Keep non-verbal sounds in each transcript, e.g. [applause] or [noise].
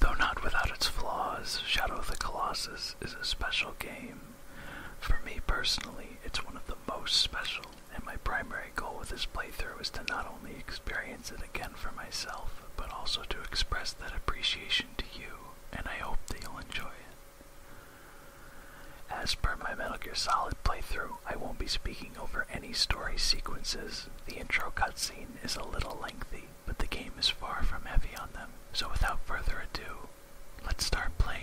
Though not without its flaws, Shadow of the Colossus is a special game. For me personally, it's one of the most special, and my primary goal with this playthrough is to not only experience it again for myself, but also to express that appreciation to you, and I hope that you'll enjoy it. As per my Metal Gear Solid playthrough, I won't be speaking over any story sequences. The intro cutscene is a little lengthy, but the game is far from heavy on them, so without further ado, let's start playing.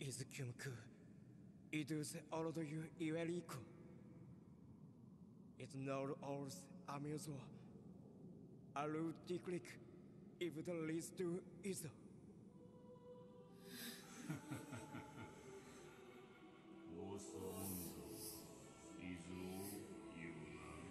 İzkümkü idüz orduyu iveriku. It's not ours amuzua. Alu diklik if the least to is. [laughs] Osa ondo izu yuna.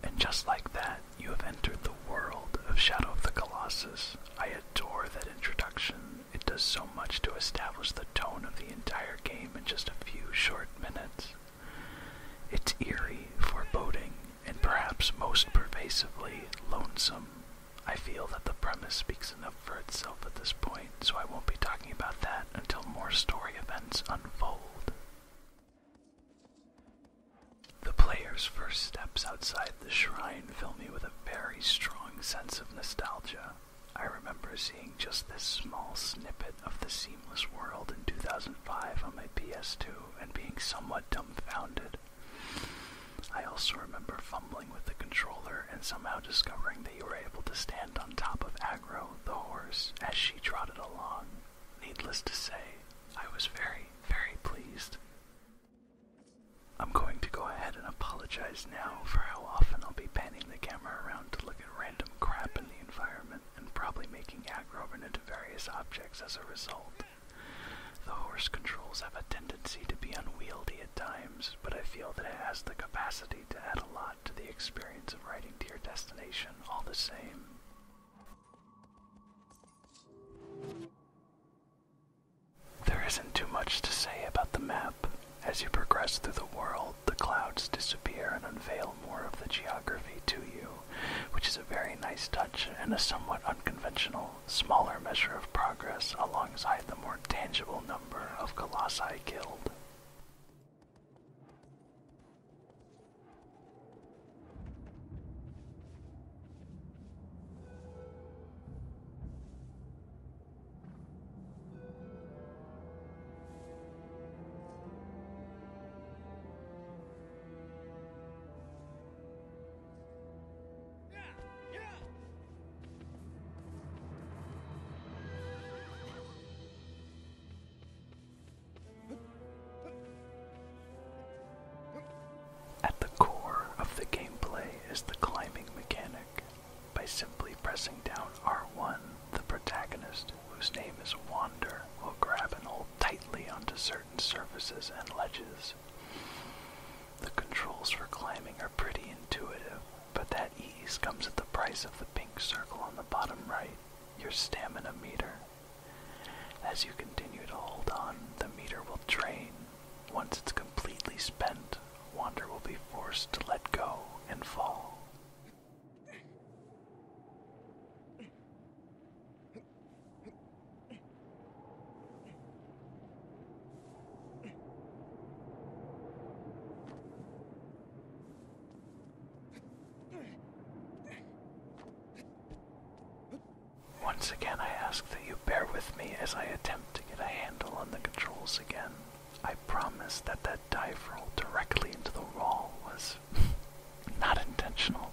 And just like that, you have entered the world of Shadow of the Colossus. I adore that introduction. It does so much to establish the tone of the entire game in just a few short minutes. It's eerie, foreboding, and perhaps most pervasively, lonesome. I feel that the premise speaks enough for itself at this point, so I won't be talking about that until more story events unfold. The player's first steps outside the shrine fill me with a very strong sense of nostalgia. I remember seeing just this small snippet of the seamless world in 2005 on my PS2 and being somewhat dumbfounded. I also remember fumbling with the controller and somehow discovering that you were able to stand on top of Agro, the horse, as she trotted along. Needless to say, I was very, very pleased. I'm going to go ahead and apologize now for how often I'll be panning the camera around to look at random crap in the environment and probably making aggro run into various objects as a result. The horse controls have a tendency to be unwieldy at times, but I feel that it has the capacity to add a lot to the experience of riding to your destination all the same. There isn't too much to say about the map. As you progress through the world, the clouds disappear and unveil more of the geography to you, which is a very nice touch and a somewhat unconventional smaller measure of progress alongside the more tangible number of colossi killed. At the core of the gameplay is the climbing mechanic. By simply pressing down R1, the protagonist, whose name is Wander, will grab and hold tightly onto certain surfaces and ledges. The controls for climbing are pretty intuitive, but that ease comes at the price of the pink circle on the bottom right, your stamina meter. As you continue to hold on, the meter will drain. Once it's completely spent, Wander will be forced to let go and fall. Once again, I ask that you bear with me as I attempt to get a handle on the controls again. I promise that that dive roll directly into the wall was [laughs] not intentional.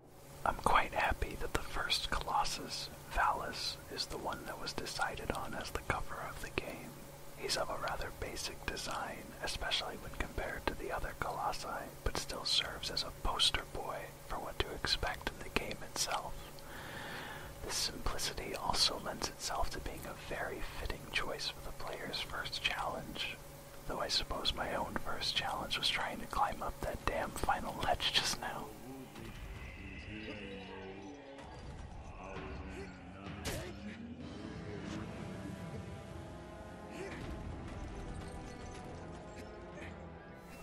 I'm quite happy that the first Colossus, Valus, is the one that was decided on as the cover of the game. He's of a rather basic design, especially when compared to the other Colossi, but still serves as a poster boy for what to expect in the game itself. This simplicity also lends itself to being a very fitting choice for the player's first challenge, Though I suppose my own first challenge was trying to climb up that damn final ledge just now.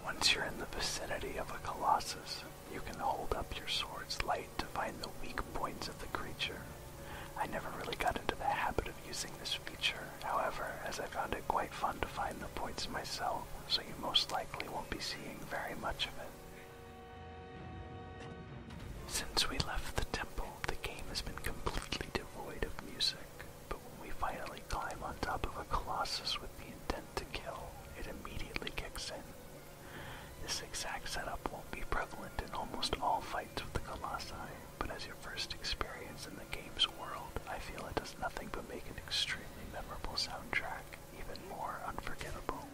Once you're in the vicinity of a colossus, you can hold up your sword's light to find the weak points of the creature. I never really got into the habit of using this feature However, as I found it quite fun to find the points myself, so you most likely won't be seeing very much of it. Since we left the temple, the game has been completely devoid of music, but when we finally climb on top of a colossus with the intent to kill, it immediately kicks in. This exact setup won't be prevalent in almost all fights with the colossi, but as your first experience in the game's world, I feel it does nothing but make an extremely memorable soundtrack even more unforgettable.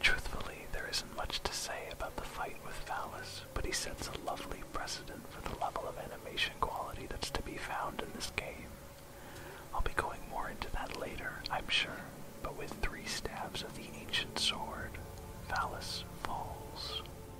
Truthfully, there isn't much to say about the fight with Valis, but he sets a lovely precedent for the level of animation quality that's to be found in this game. I'll be going more into that later, I'm sure, but with three stabs of the ancient sword, Valis falls.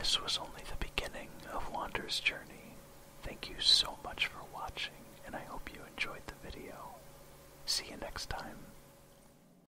This was only the beginning of Wander's journey. Thank you so much for watching, and I hope you enjoyed the video. See you next time.